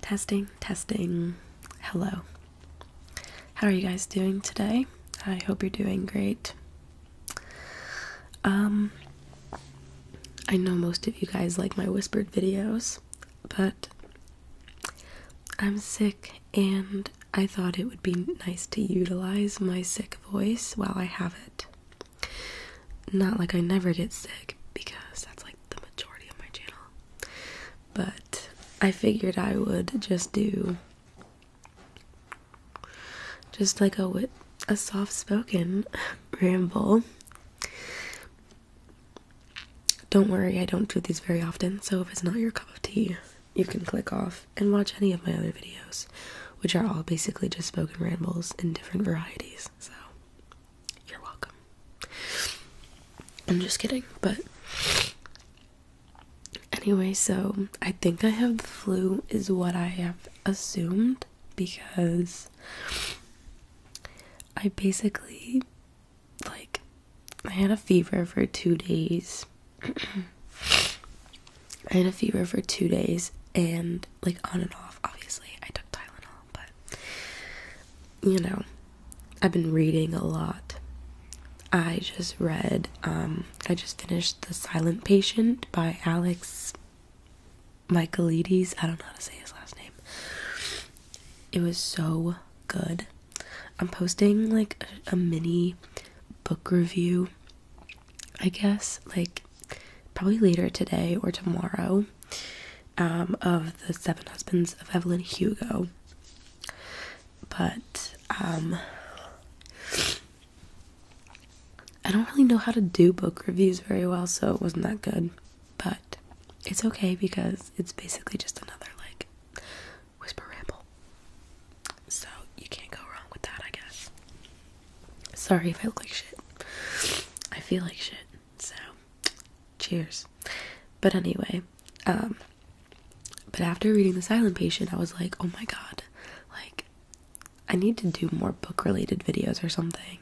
Testing, testing. Hello. How are you guys doing today? I hope you're doing great. Um I know most of you guys like my whispered videos, but I'm sick and I thought it would be nice to utilize my sick voice while I have it. Not like I never get sick because that's like the majority of my channel. But I figured I would just do just like a a soft-spoken ramble. Don't worry, I don't do these very often, so if it's not your cup of tea, you can click off and watch any of my other videos, which are all basically just spoken rambles in different varieties. So you're welcome. I'm just kidding, but anyway, so I think I have the flu, is what I have assumed because I basically like I had a fever for two days. I had a fever for two days and like on and off. Obviously, I took Tylenol but you know, I've been reading a lot. I just read, um, I just finished The Silent Patient by Alex Michaelides. I don't know how to say his last name. It was so good. I'm posting like a mini book review, I guess. Like, probably later today or tomorrow um, of the Seven Husbands of Evelyn Hugo. But um, I don't really know how to do book reviews very well, so it wasn't that good. But it's okay because it's basically just another like whisper ramble. So you can't go wrong with that, I guess. Sorry if I look like shit. I feel like shit. So, cheers. But anyway, um, but after reading The Silent Patient, I was like, oh my god, like, I need to do more book related videos or something.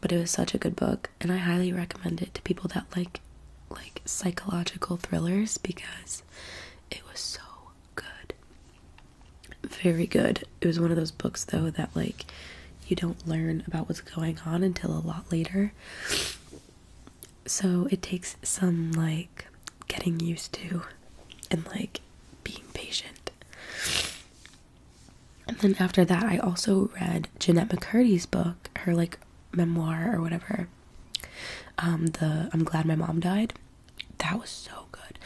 But it was such a good book, and I highly recommend it to people that like like psychological thrillers because it was so good. Very good it was one of those books though that like you don't learn about what's going on until a lot later so it takes some like getting used to and like being patient and then after that i also read jeanette mccurdy's book her like memoir or whatever um the i'm glad my mom died that was so good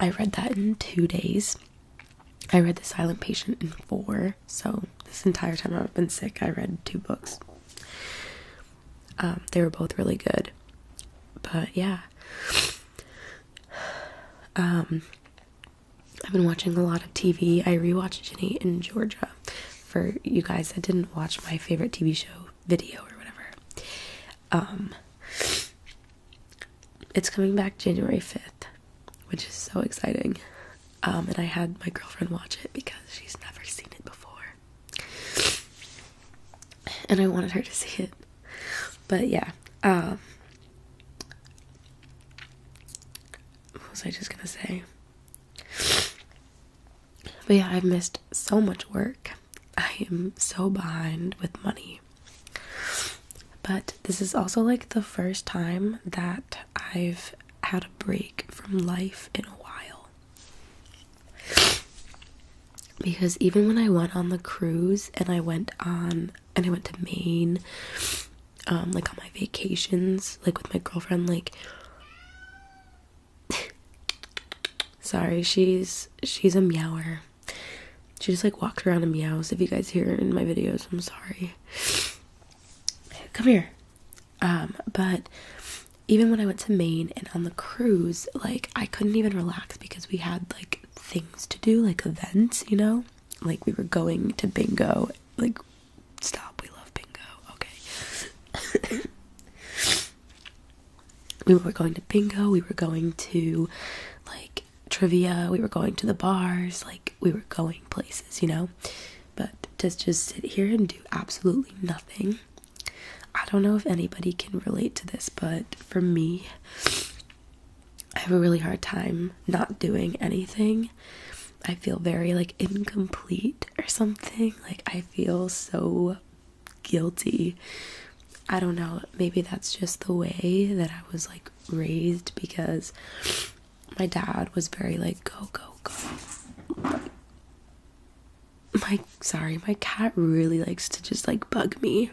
i read that in two days I read The Silent Patient in four, so this entire time I've been sick, I read two books. Um, they were both really good, but yeah. Um, I've been watching a lot of TV. I rewatched *Jenny in Georgia for you guys that didn't watch my favorite TV show video or whatever. Um, it's coming back January 5th which is so exciting. Um, and I had my girlfriend watch it because she's never seen it before, and I wanted her to see it. But yeah, um, what was I just gonna say? But yeah, I've missed so much work. I am so behind with money but this is also like the first time that I've had a break from life in a while. Because even when I went on the cruise and I went on and I went to Maine, um, like on my vacations, like with my girlfriend, like sorry, she's she's a meower. She just like walks around and meows. If you guys hear it in my videos, I'm sorry. Come here. Um, but even when I went to Maine and on the cruise, like I couldn't even relax because we had like things to do, like events, you know? Like we were going to bingo. Like stop, we love bingo. Okay. we were going to bingo, we were going to like trivia, we were going to the bars, like we were going places, you know. But to just sit here and do absolutely nothing, I don't know if anybody can relate to this, but for me, I have a really hard time not doing anything. I feel very like incomplete or something. Like I feel so guilty I don't know, maybe that's just the way that I was like raised because my dad was very like go go go. My sorry, my cat really likes to just like bug me.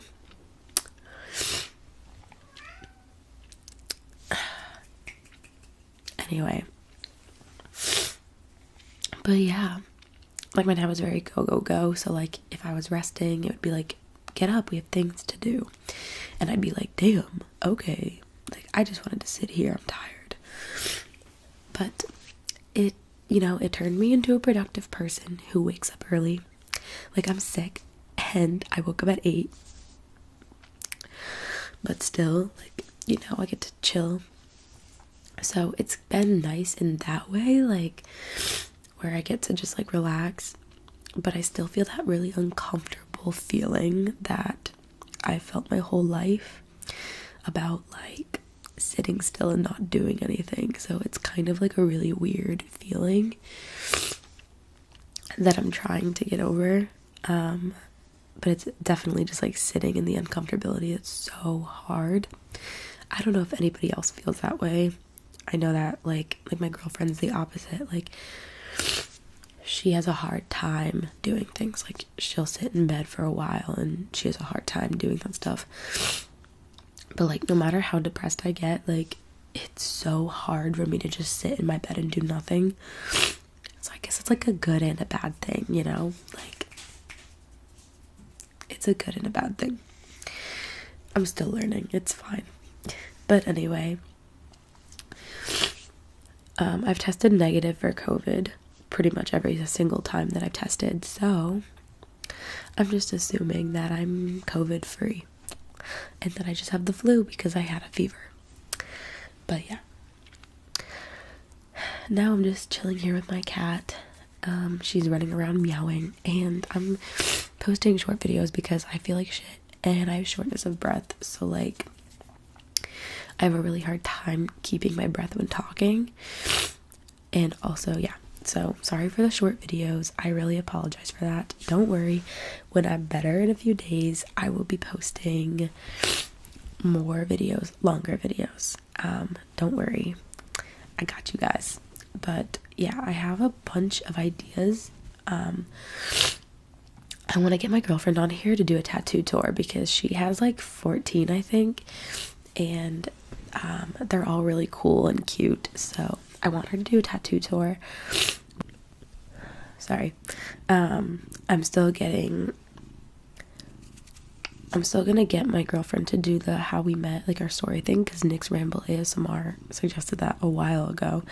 Anyway. But yeah. Like my dad was very go go go, so like if I was resting, it would be like get up, we have things to do. And I'd be like, damn, okay. Like, I just wanted to sit here, I'm tired. But it, you know, it turned me into a productive person who wakes up early. Like, I'm sick and I woke up at eight. But still, like, you know, I get to chill. So it's been nice in that way. Like, where I get to just like relax, but I still feel that really uncomfortable feeling that I felt my whole life about like sitting still and not doing anything. So it's kind of like a really weird feeling that I'm trying to get over. Um, but it's definitely just like sitting in the uncomfortability. It's so hard. I don't know if anybody else feels that way. I know that like like my girlfriend's the opposite. Like she has a hard time doing things. Like she'll sit in bed for a while and she has a hard time doing that stuff. But like no matter how depressed I get, like it's so hard for me to just sit in my bed and do nothing. So I guess it's like a good and a bad thing, you know? Like it's a good and a bad thing. I'm still learning, it's fine. But anyway, um, I've tested negative for COVID pretty much every single time that I've tested, so I'm just assuming that I'm COVID free and that I just have the flu because I had a fever. But yeah. Now I'm just chilling here with my cat. Um, she's running around meowing, and I'm posting short videos because I feel like shit and I have shortness of breath. So, like, I have a really hard time keeping my breath when talking. And also, yeah, so sorry for the short videos. I really apologize for that. Don't worry, when I'm better in a few days, I will be posting more videos, longer videos. Um, don't worry. I got you guys. But yeah, I have a bunch of ideas. Um I want to get my girlfriend on here to do a tattoo tour because she has like 14, I think. And um, they're all really cool and cute. So I want her to do a tattoo tour. Sorry. Um, I'm still getting. I'm still going to get my girlfriend to do the How We Met like our story thing because Nick's Ramble ASMR suggested that a while ago.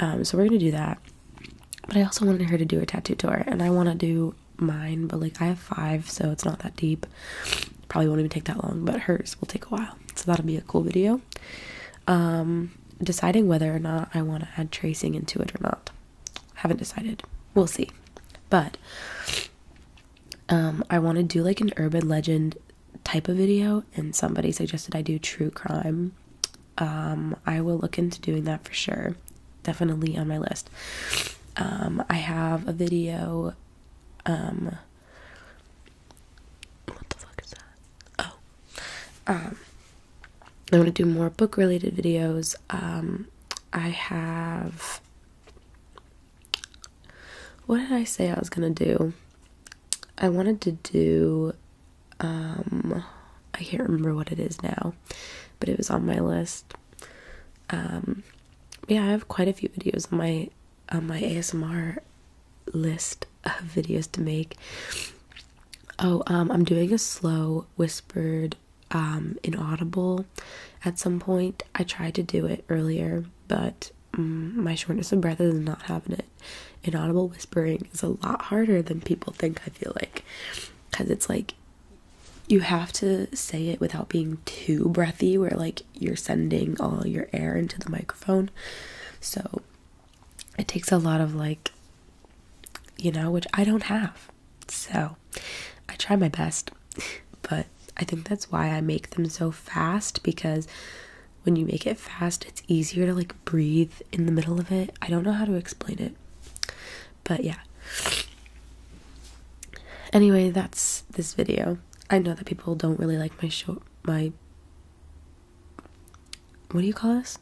Um, so we're gonna do that. But I also wanted her to do a tattoo tour, and I want to do mine, but like I have five, so it's not that deep. Probably won't even take that long, but hers will take a while, so that'll be a cool video. Um, deciding whether or not I want to add tracing into it or not, haven't decided. We'll see, but um, I want to do like an urban legend type of video, and somebody suggested I do true crime. Um, I will look into doing that for sure. Definitely on my list. Um, I have a video. what the fuck is that? Oh, I want to do more book related videos. I have what did I say I was gonna do? I wanted to do, um, I can't remember what it is now, but it was on my list. Um, yeah, I have quite a few videos on my my ASMR list of videos to make. Oh, um, I'm doing a slow whispered, um, inaudible at some point. I tried to do it earlier but mm, my shortness of breath is not having it. Inaudible whispering is a lot harder than people think, I feel like, because it's like you have to say it without being too breathy, where like you're sending all your air into the microphone. So it takes a lot of like, you know, which I don't have. So I try my best. but I think that's why I make them so fast because when you make it fast, it's easier to like breathe in the middle of it. I don't know how to explain it, but yeah. Anyway, that's this video. I know that people don't really like my show, my what do you call this?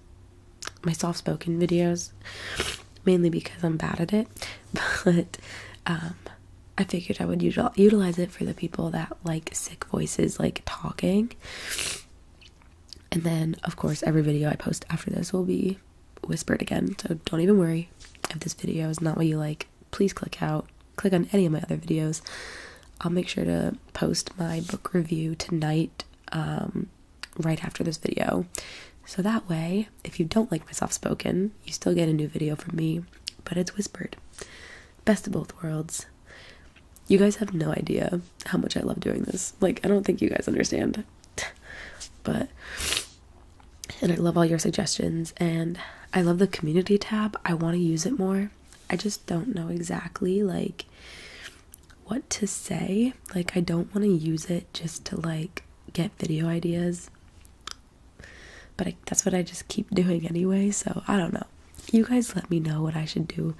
My soft spoken videos, mainly because I'm bad at it, but um, I figured I would utilize it for the people that like sick voices, like talking. And then, of course, every video I post after this will be whispered again. So don't even worry if this video is not what you like. Please click out, click on any of my other videos. I'll make sure to post my book review tonight, um, right after this video. So that way, if you don't like my soft spoken, you still get a new video from me, but it's whispered. Best of both worlds. You guys have no idea how much I love doing this. Like, I don't think you guys understand. but, and I love all your suggestions, and I love the community tab. I want to use it more. I just don't know exactly, like, what to say. Like, I don't want to use it just to, like, get video ideas but that's what I just keep doing anyway. So I don't know. You guys let me know what I should do.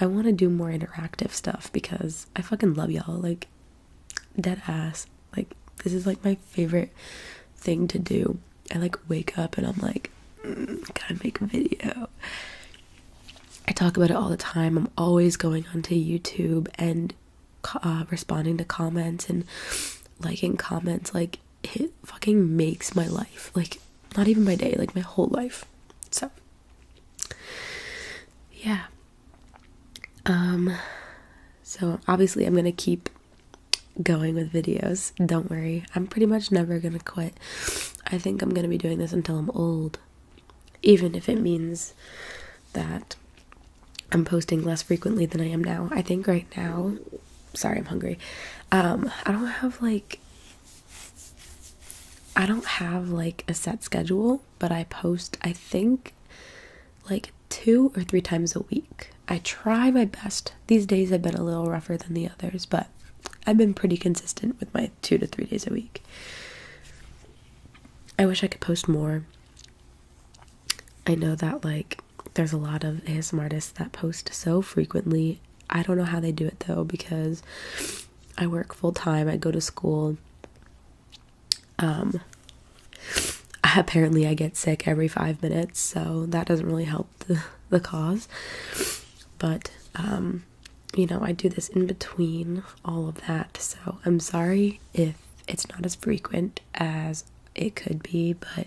I want to do more interactive stuff because I fucking love y'all. Like, dead ass. Like, this is like my favorite thing to do. I like wake up and I'm like, mm, gotta make a video. I talk about it all the time. I'm always going onto YouTube and uh, responding to comments and liking comments like it fucking makes my life like not even my day like my whole life so yeah um so obviously i'm gonna keep going with videos don't worry i'm pretty much never gonna quit i think i'm gonna be doing this until i'm old even if it means that I'm posting less frequently than I am now. I think right now, sorry, I'm hungry. Um, I don't have like, I don't have like a set schedule, but I post, I think, like two or three times a week. I try my best. These days have been a little rougher than the others, but I've been pretty consistent with my two to three days a week. I wish I could post more. I know that, like, there's a lot of ASM artists that post so frequently. I don't know how they do it though because I work full time, I go to school. Um apparently I get sick every 5 minutes, so that doesn't really help the the cause. But um, you know, I do this in between all of that. So I'm sorry if it's not as frequent as it could be, but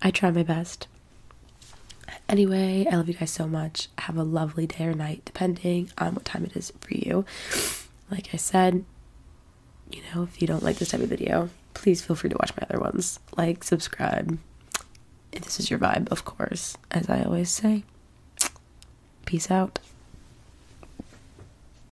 I try my best. Anyway, I love you guys so much. Have a lovely day or night, depending on what time it is for you. Like I said, you know, if you don't like this type of video, please feel free to watch my other ones. Like, subscribe. If this is your vibe, of course, as I always say. Peace out.